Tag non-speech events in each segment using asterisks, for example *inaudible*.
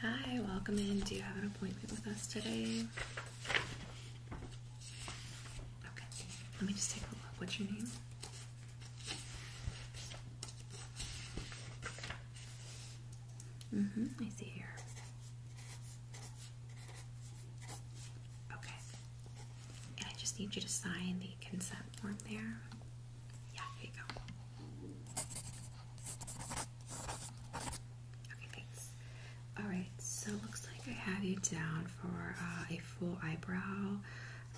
Hi, welcome in. Do you have an appointment with us today? Okay, let me just take a look. What's your name? Mm-hmm, I see here. Okay. I just need you to sign the consent form there. Yeah, here you go. Okay, thanks. Alright, so looks like I have you down for uh, a full eyebrow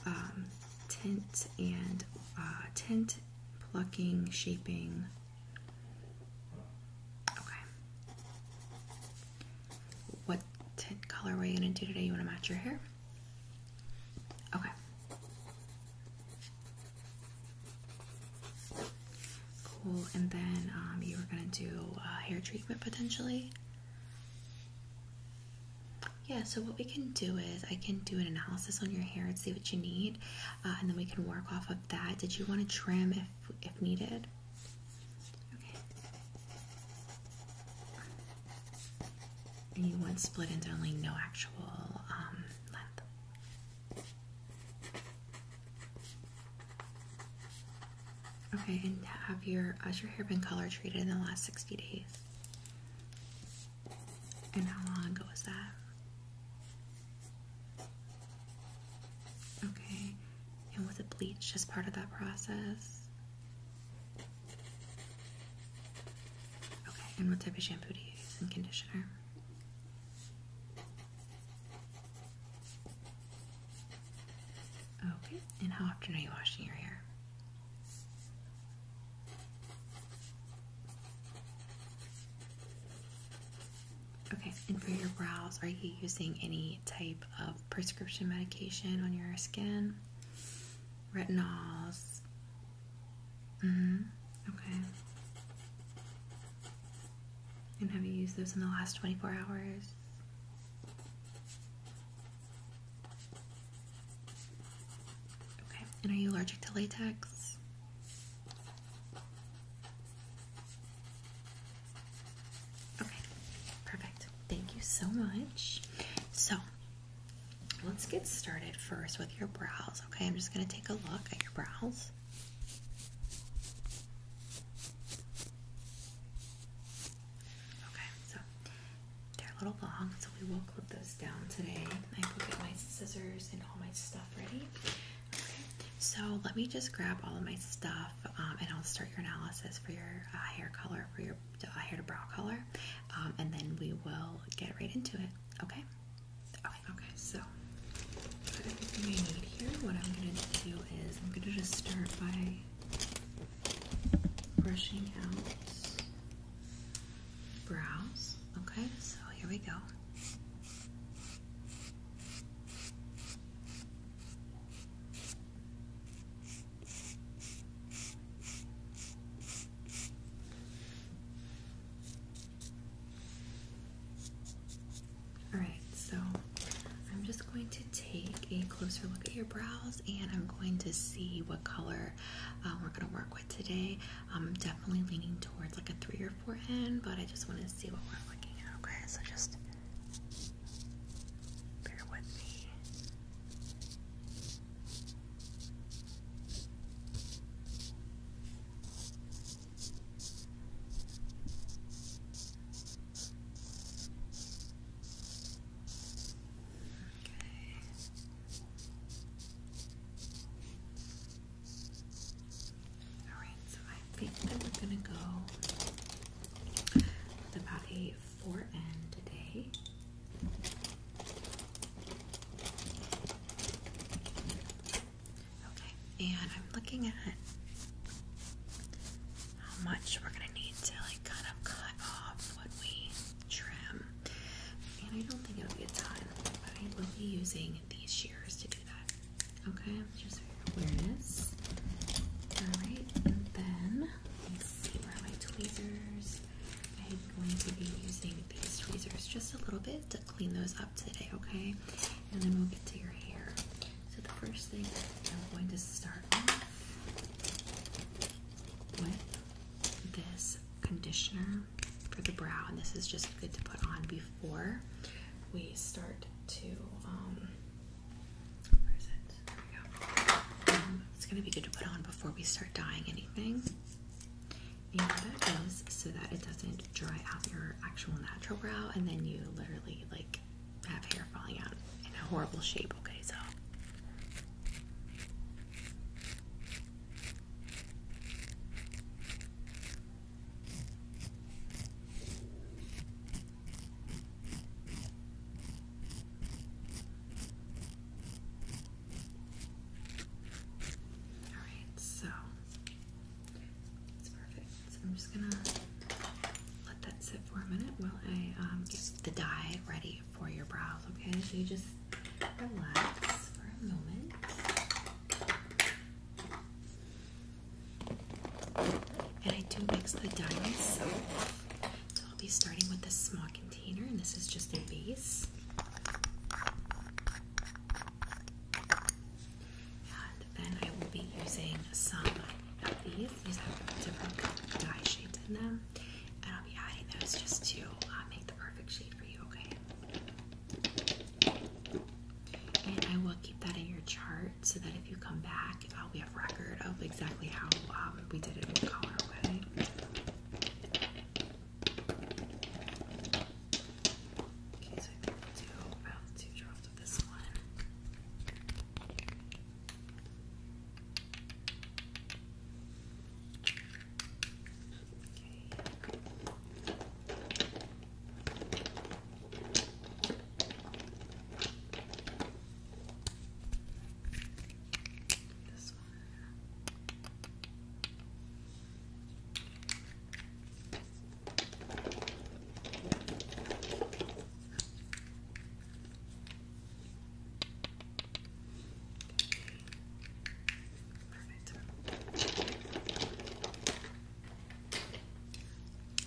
um, tint and uh, tint plucking, shaping. Okay. What tint color are you going to do today? You want to match your hair? Okay. Cool, and then um, you were gonna do uh, hair treatment potentially. Yeah, so what we can do is I can do an analysis on your hair and see what you need, uh, and then we can work off of that. Did you want to trim if if needed? Okay. you want split into only no actual um, length. Okay, and have your has your hair been color treated in the last 60 days? And how long ago was that? Okay. And was it bleach as part of that process? Okay, and what type of shampoo do you use and conditioner? Okay, and how often are you washing your hair? Okay, and for your brows, are you using any type of prescription medication on your skin? Retinols, hmm Okay. And have you used those in the last 24 hours? Okay. And are you allergic to latex? Okay. Perfect. Thank you so much. So, let's get started first with your brows. Okay, I'm just going to take a look at your brows. Okay, so they're a little long, so we will clip those down today. I will get my scissors and all my stuff ready. Okay, so let me just grab all of my stuff um, and I'll start your analysis for your uh, hair color, for your uh, hair to brow color, um, and then we will get right into it. Okay. Okay, so got everything I need here. What I'm gonna do is I'm gonna just start by brushing out brows. Okay, so here we go. Alright, so I'm just going to take a closer look at your brows and I'm going to see what color uh, we're going to work with today. I'm definitely leaning towards like a 3 or 4 end, but I just want to see what we're looking at, okay? So just bear with me. All right, so I think that we're gonna go about a four N today. Okay, and I'm looking at how much we're gonna need to like kind of cut off what we trim. And I don't think it will be a time, but I will be using these shears to do that. Okay, just for your awareness. Alright, and then let's see where are my tweezers. I'm going to be using these tweezers just a little bit clean those up today, okay? And then we'll get to your hair. So the first thing I'm going to start with, this conditioner for the brow, and this is just good to put on before we start to um, where is it? There we go. Um, it's gonna be good to put on before we start dyeing anything so that it doesn't dry out your actual natural brow and then you literally like have hair falling out in a horrible shape. Okay, so. All right, so it's perfect. So I'm just gonna let that sit for a minute while I um, get the dye ready for your brows. Okay, so you just relax for a moment. And I do mix the dye So I'll be starting with a small container, and this is just a base. And then I will be using some of these. These have different dye shades in them. And I'll be adding those just to uh, make the perfect shade for you, okay? And I will keep that in your chart so that if you come back, uh, we have record of exactly how um, we did it in color, okay? Okay, so I think we'll do about two drops of this one. Okay. This one. I'm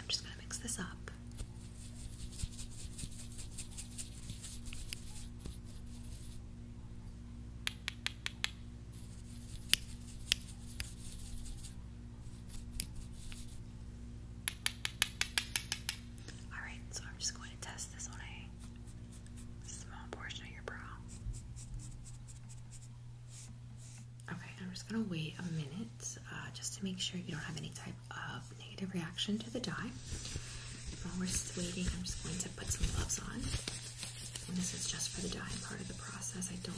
just going to mix this up. Alright, so I'm just going to test this on a small portion of your brow. Okay, I'm just going to wait a minute uh, just to make sure you don't have any type of negative reaction to the dye. While we're waiting, I'm just going to put some gloves on. And this is just for the dyeing part of the process. I don't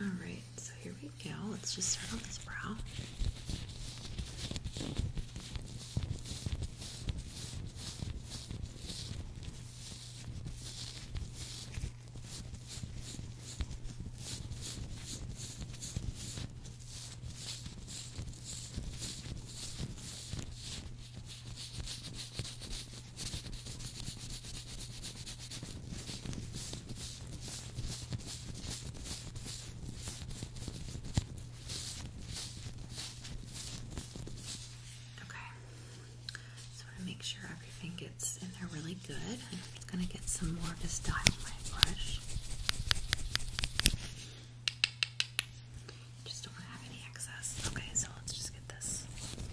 All right, so here we go. Let's just start on this brow. Okay. So I want to make sure everything gets in there really good. I'm just going to get some more of this dye my brush. Just don't want to have any excess. Okay, so let's just get this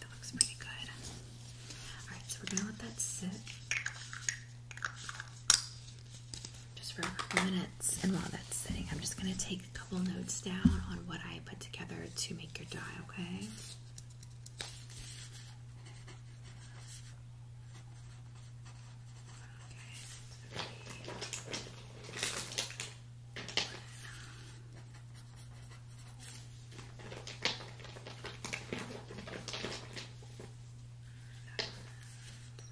That looks pretty good. Alright, so we're gonna let that sit just for a couple minutes. And while that's sitting, I'm just gonna take a couple notes down on what I put together to make your dye, okay?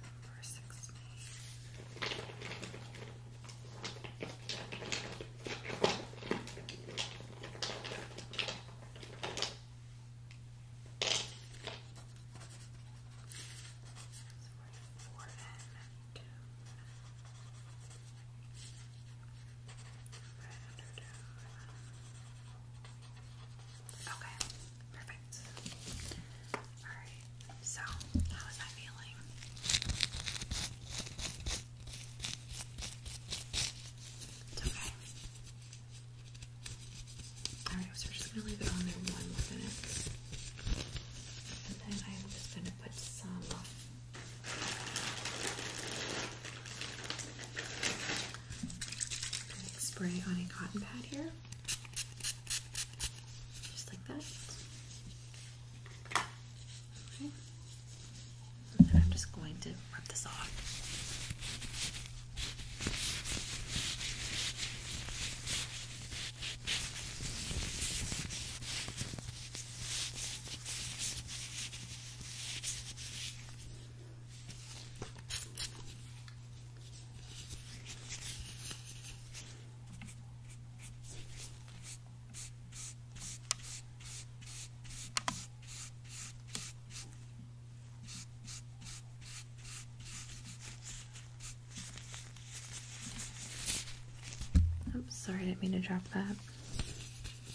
Number six so we're four and two. Round her Okay, perfect. Alright, so how is that feeling? It's okay. Alright, so we're just gonna leave it on there one minute. And then I'm just gonna put some spray on a cotton pad here, just like that. Okay. And then I'm just going to rub this off. I'm sorry, I didn't mean to drop that. Okay,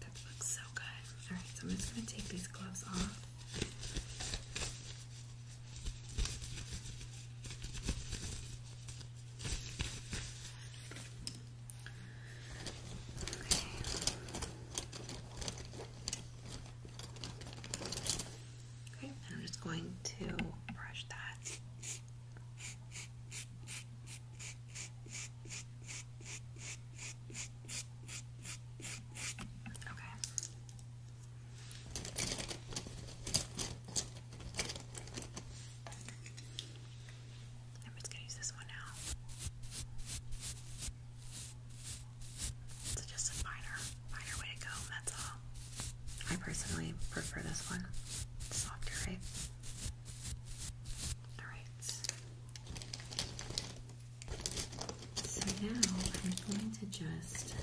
that looks so good. All right, so I'm just going to take these gloves off. Okay. I'm just going to brush that. Okay. I'm just gonna use this one now. It's just a finer, finer way to go, that's all. I personally prefer this one. softer, right? Alright. So now I'm going to just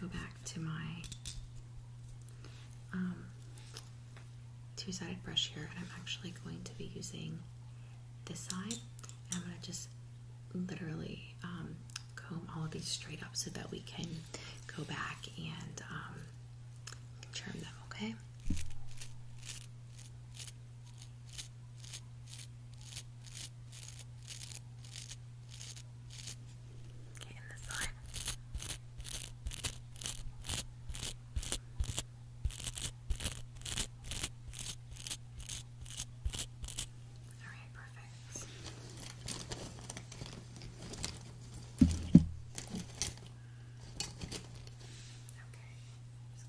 go back to my um, two-sided brush here, and I'm actually going to be using this side, and I'm going to just literally um, comb all of these straight up so that we can go back and um, trim them, okay? Okay, this side. Alright, perfect. Okay, just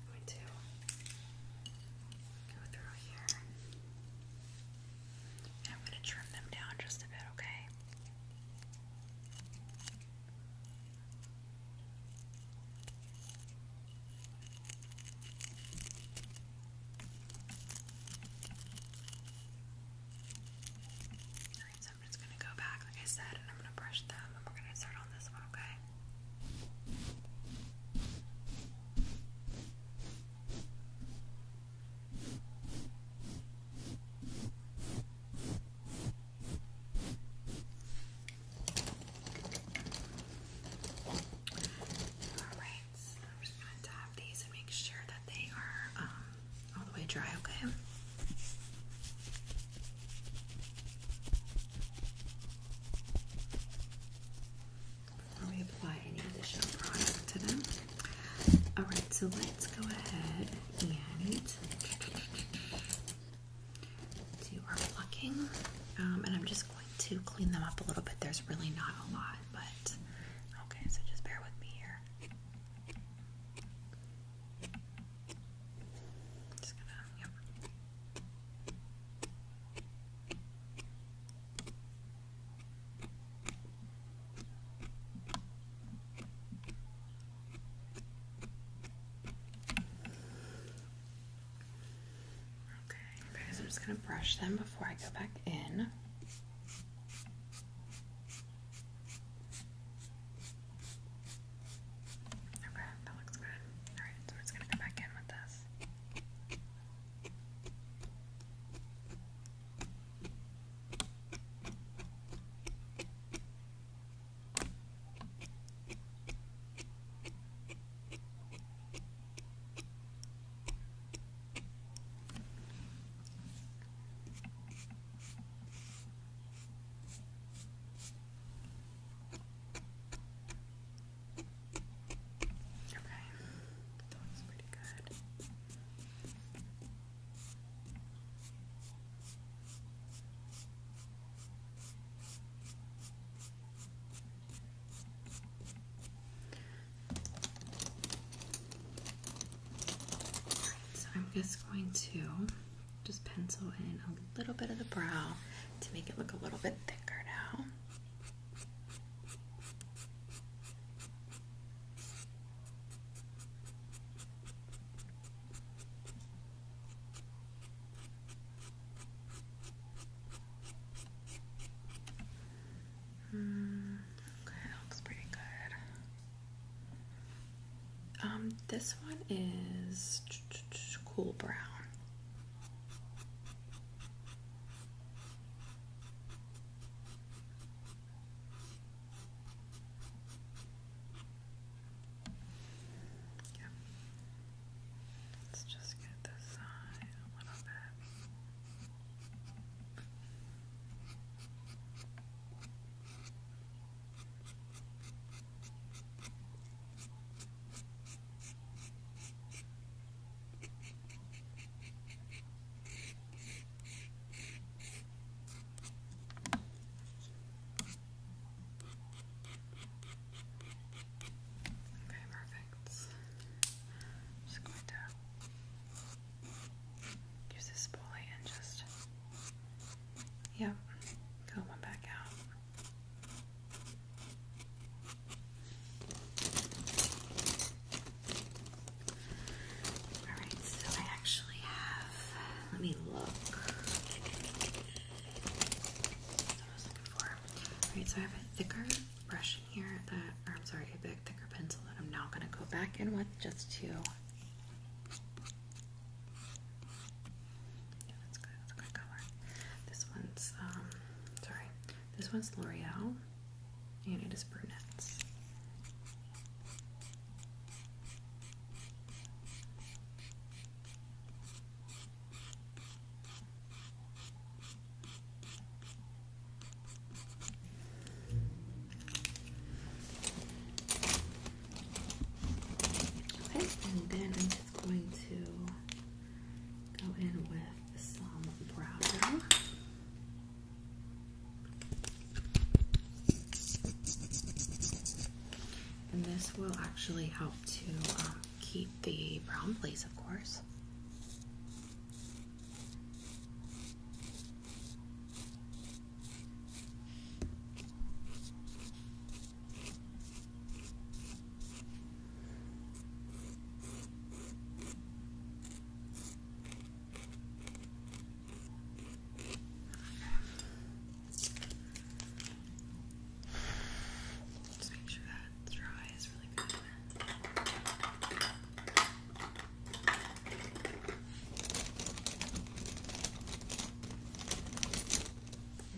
going to go through here. I'm going to trim them down just a bit, Okay. Alright, so I'm just gonna go back, like I said, and I'm gonna brush them, and we're gonna start on this one, Okay, Alright, so I'm just going to dab these and make sure that they are um, all the way dry, okay? Before we apply any of product to them. Alright, so let's go ahead and do our plucking. Um, and I'm just going to clean them up a little bit. There's really not a lot, but okay, so just bear with me here. Okay, okay, I'm just going to brush them before I go back in. Okay, that looks good. Alright, so we're just going to go back in with this. Okay, that was pretty good so I'm just going to just pencil in a little bit of the brow to make it look a little bit thicker now. Mm, looks pretty good. Um, this one is cool brown. Yep. Let's just get this side a little bit. Okay, perfect. just going to use this spoolie and just, yep, fill one back out. Alright, so I actually have, let me look. Alright, so I have a thicker brush in here that, or I'm sorry, a big thicker pencil that I'm now going to go back in with just to. Yeah, that's good. That's a good color. This one's, um, sorry, this one's L'Oreal and it is brunettes. Okay, and then I'm just going to go in with some brow and this will actually help to um, keep the brown place, of course let make sure that dry is really good.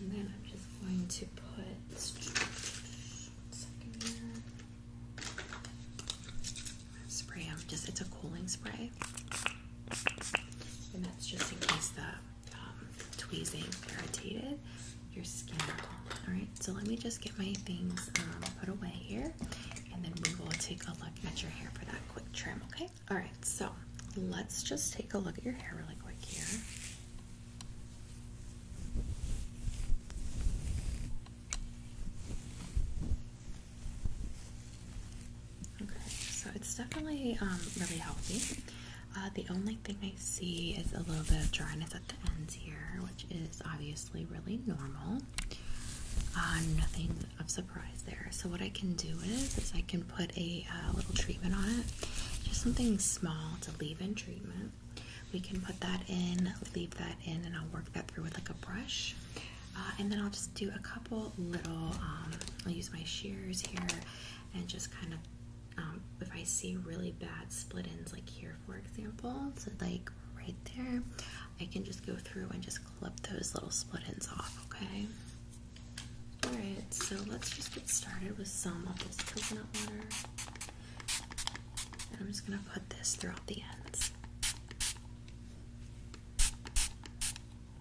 And then I'm just going to put Spray. i just it's a cooling spray, and that's just in case the um, tweezing irritated your skin All right, so let me just get my things um, put away here, and then we will take a look at your hair for that quick trim. Okay. All right, so let's just take a look at your hair really quick here. Okay, so it's definitely um, really healthy. Uh, the only thing I see is a little bit of dryness at the ends here, which is obviously really normal. Uh, nothing of surprise there. So what I can do is, I can put a uh, little treatment on it, just something small to leave-in treatment. We can put that in, leave that in, and I'll work that through with like a brush. and then I'll just do a couple little, um, I'll use my shears here and just kind of um, if I see really bad split ends like here for example so like right there I can just go through and just clip those little split ends off okay alright so let's just get started with some of this coconut water and I'm just gonna put this throughout the ends all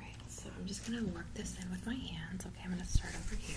right, so I'm just going to work this in with my hands. Okay, I'm going to start over here.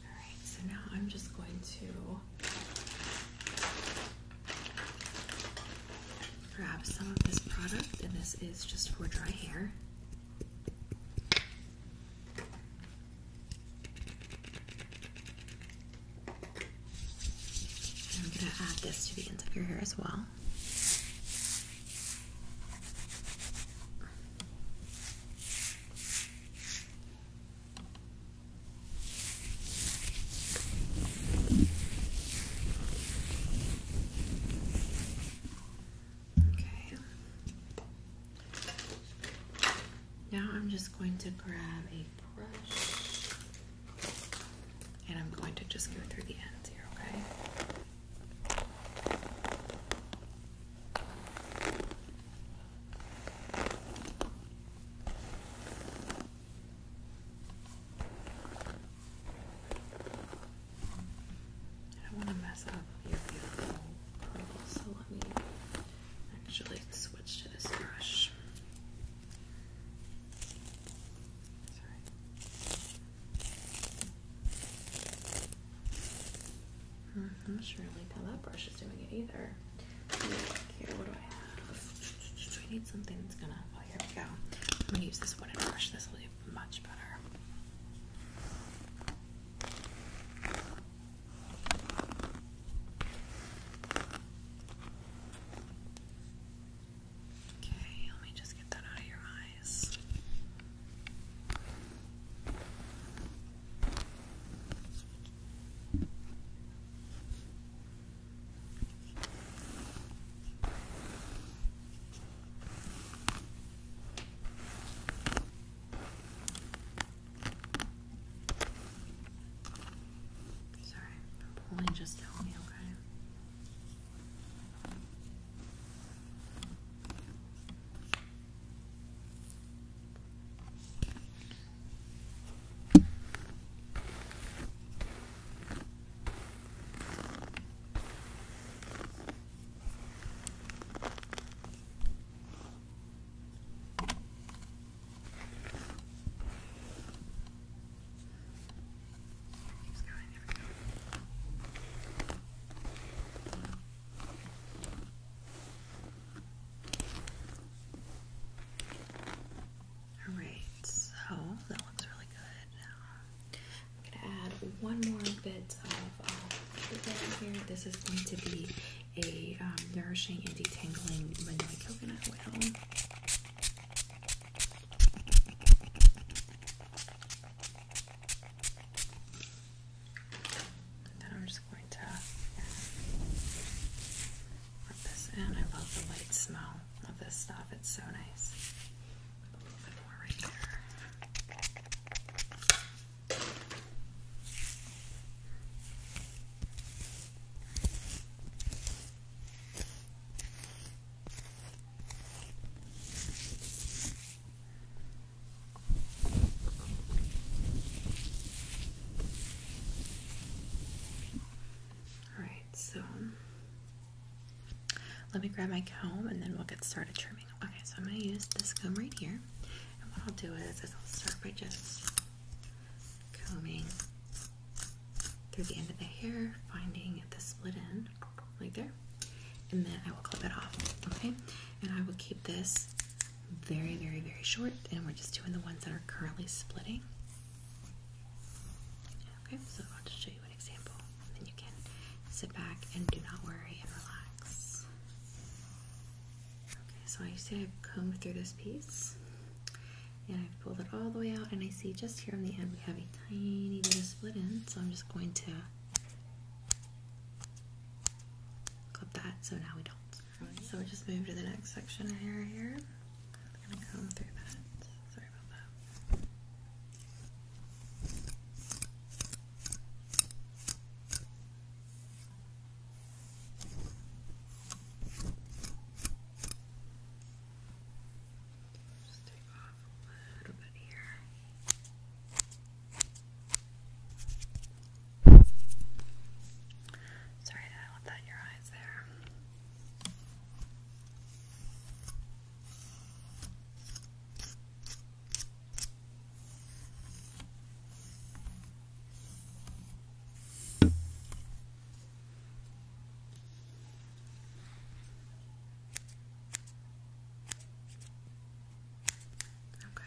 Alright, so now I'm just going to grab some of this product, and this is just for dry hair. I'm going to add this to the ends of your hair as well. Okay. Now I'm just going to grab a brush and I'm going to just go through the ends here, okay? I don't want to mess up your beautiful pearls, so let me actually switch to this brush. Sorry. I'm not sure how that brush is doing it either. Here, what do I have? I need something that's gonna. Oh, here we go. I'm gonna use this wooden brush. This will do much better. Okay, let me just get that out of your eyes. Sorry, i just tell me, okay? Keeps going, there we go. Alright, so that looks really good I'm gonna add one more bit of uh, here. This is going to be a um, nourishing and detangling vanilla coconut oil then I'm just going to rub this in. I love the light smell of this stuff. It's so nice. A little bit more right there. Alright, so let me grab my comb and then we'll get started trimming. Okay, so I'm going to use this comb right here. And what I'll do is, is I'll start by just combing through the end of the hair, finding the split end, like there. And then I will clip it off, okay? And I will keep this very, very, very short, and we're just doing the ones that are currently splitting. Okay, so I'll just show you an example, and then you can sit back and do not worry and relax. Okay, so I say I've combed through this piece, and I've pulled it all the way out, and I see just here on the end we have a tiny bit of split in, so I'm just going to clip that so now we don't. So we just move to the next section here. Here, we're gonna comb through that. Sorry about that. Just take off a little bit here. Sorry, I left that in your eyes there. Okay.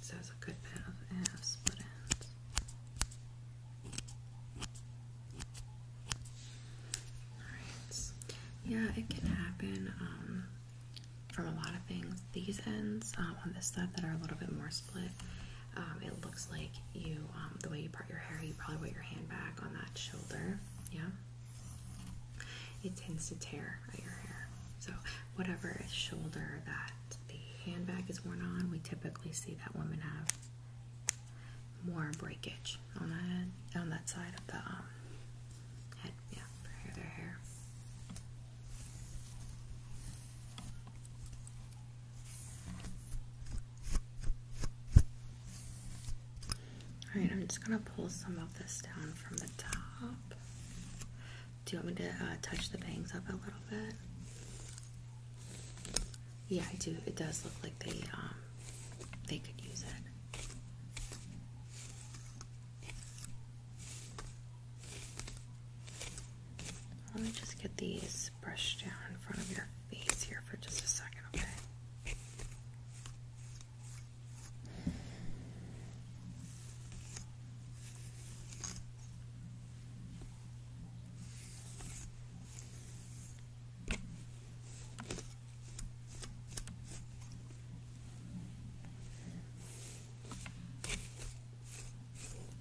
So the a good bit of half split ends. Yeah, it can happen um, from a lot of things. These ends um, on this side that are a little bit more split um, it looks like you, um, the way you part your hair, you probably put your hand back on that shoulder. Yeah, it tends to tear at your hair. So whatever shoulder that the handbag is worn on, we typically see that women have more breakage on that on that side of the um, head. Yeah, their hair. All right, I'm just gonna pull some of this down from the top. Do you want me to uh, touch the bangs up a little bit? Yeah, I do. It does look like they um, they could use it. Let me just get these brushed down in front of your face here for just a second, okay?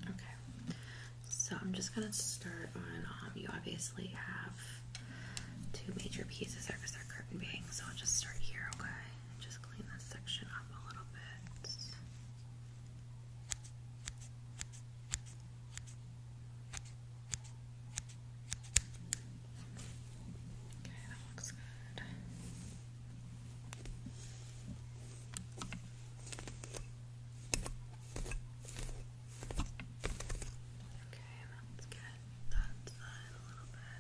Okay, so I'm just gonna start on. Um, you obviously have two major pieces there because they're curtain bangs, so I'll just start here. Okay, just clean this section up a little bit. Okay, that looks good. Okay, let's get that side a little bit.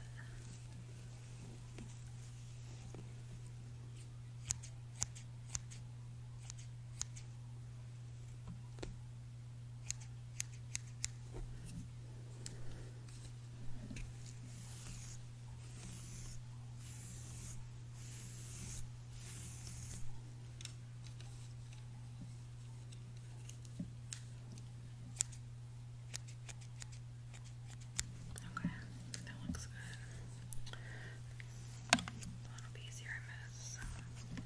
Okay, that looks good. That'll be easier to miss. Okay.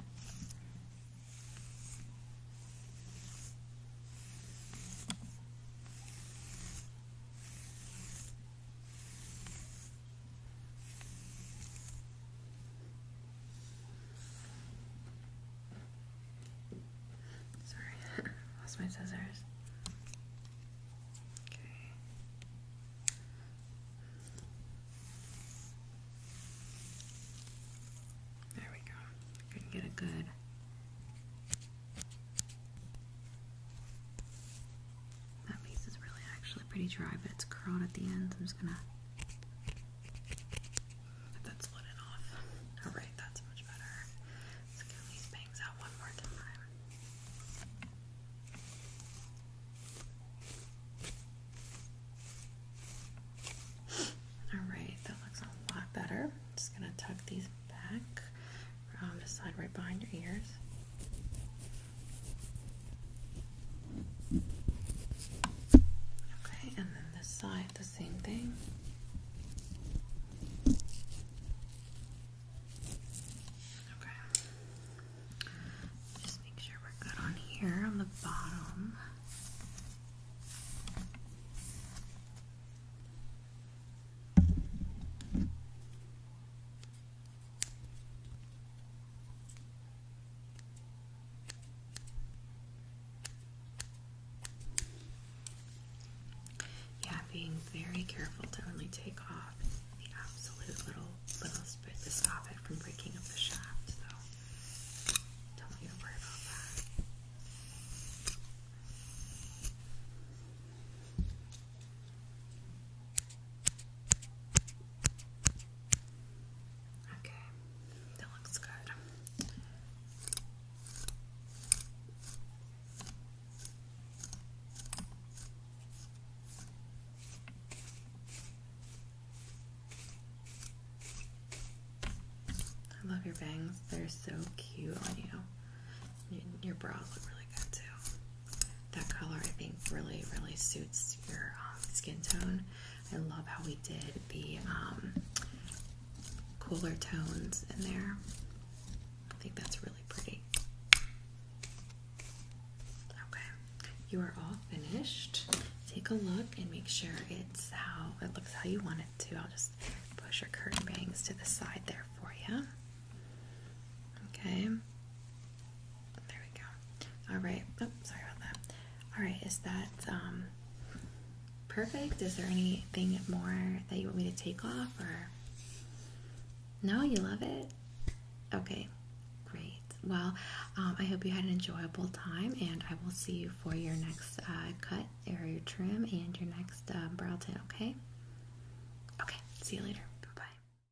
Sorry, *laughs* lost my scissors. Okay. There we go. can get a good that piece is really actually pretty dry, but it's curled at the ends. I'm just gonna let that split off. Alright, that's much better. Let's get these bangs out one more time. Alright, that looks a lot better. just gonna tuck these back around um, the side right behind your ears. Okay, and then this side, the same thing. Okay. Just make sure we're good on here on the bottom. Yeah, being very careful to only take off the absolute little littlest bit to stop it from breaking up the shaft, so don't even worry about that. Okay, that looks good. I love your bangs. They're so cute on you. Your brows look really good too. That color I think really, really suits your um, skin tone. I love how we did the um, cooler tones in there. I think that's really pretty. Okay, you are all finished. Take a look and make sure it's how it looks how you want it to. I'll just push your curtain bangs to the side there for you. Okay. There we go. All right. Oh, sorry about that. All right. Is that um, perfect? Is there anything more that you want me to take off or? No, you love it? Okay. Great. Well, um, I hope you had an enjoyable time and I will see you for your next uh, cut or your trim and your next uh, brow tint, okay? Okay. See you later. Bye.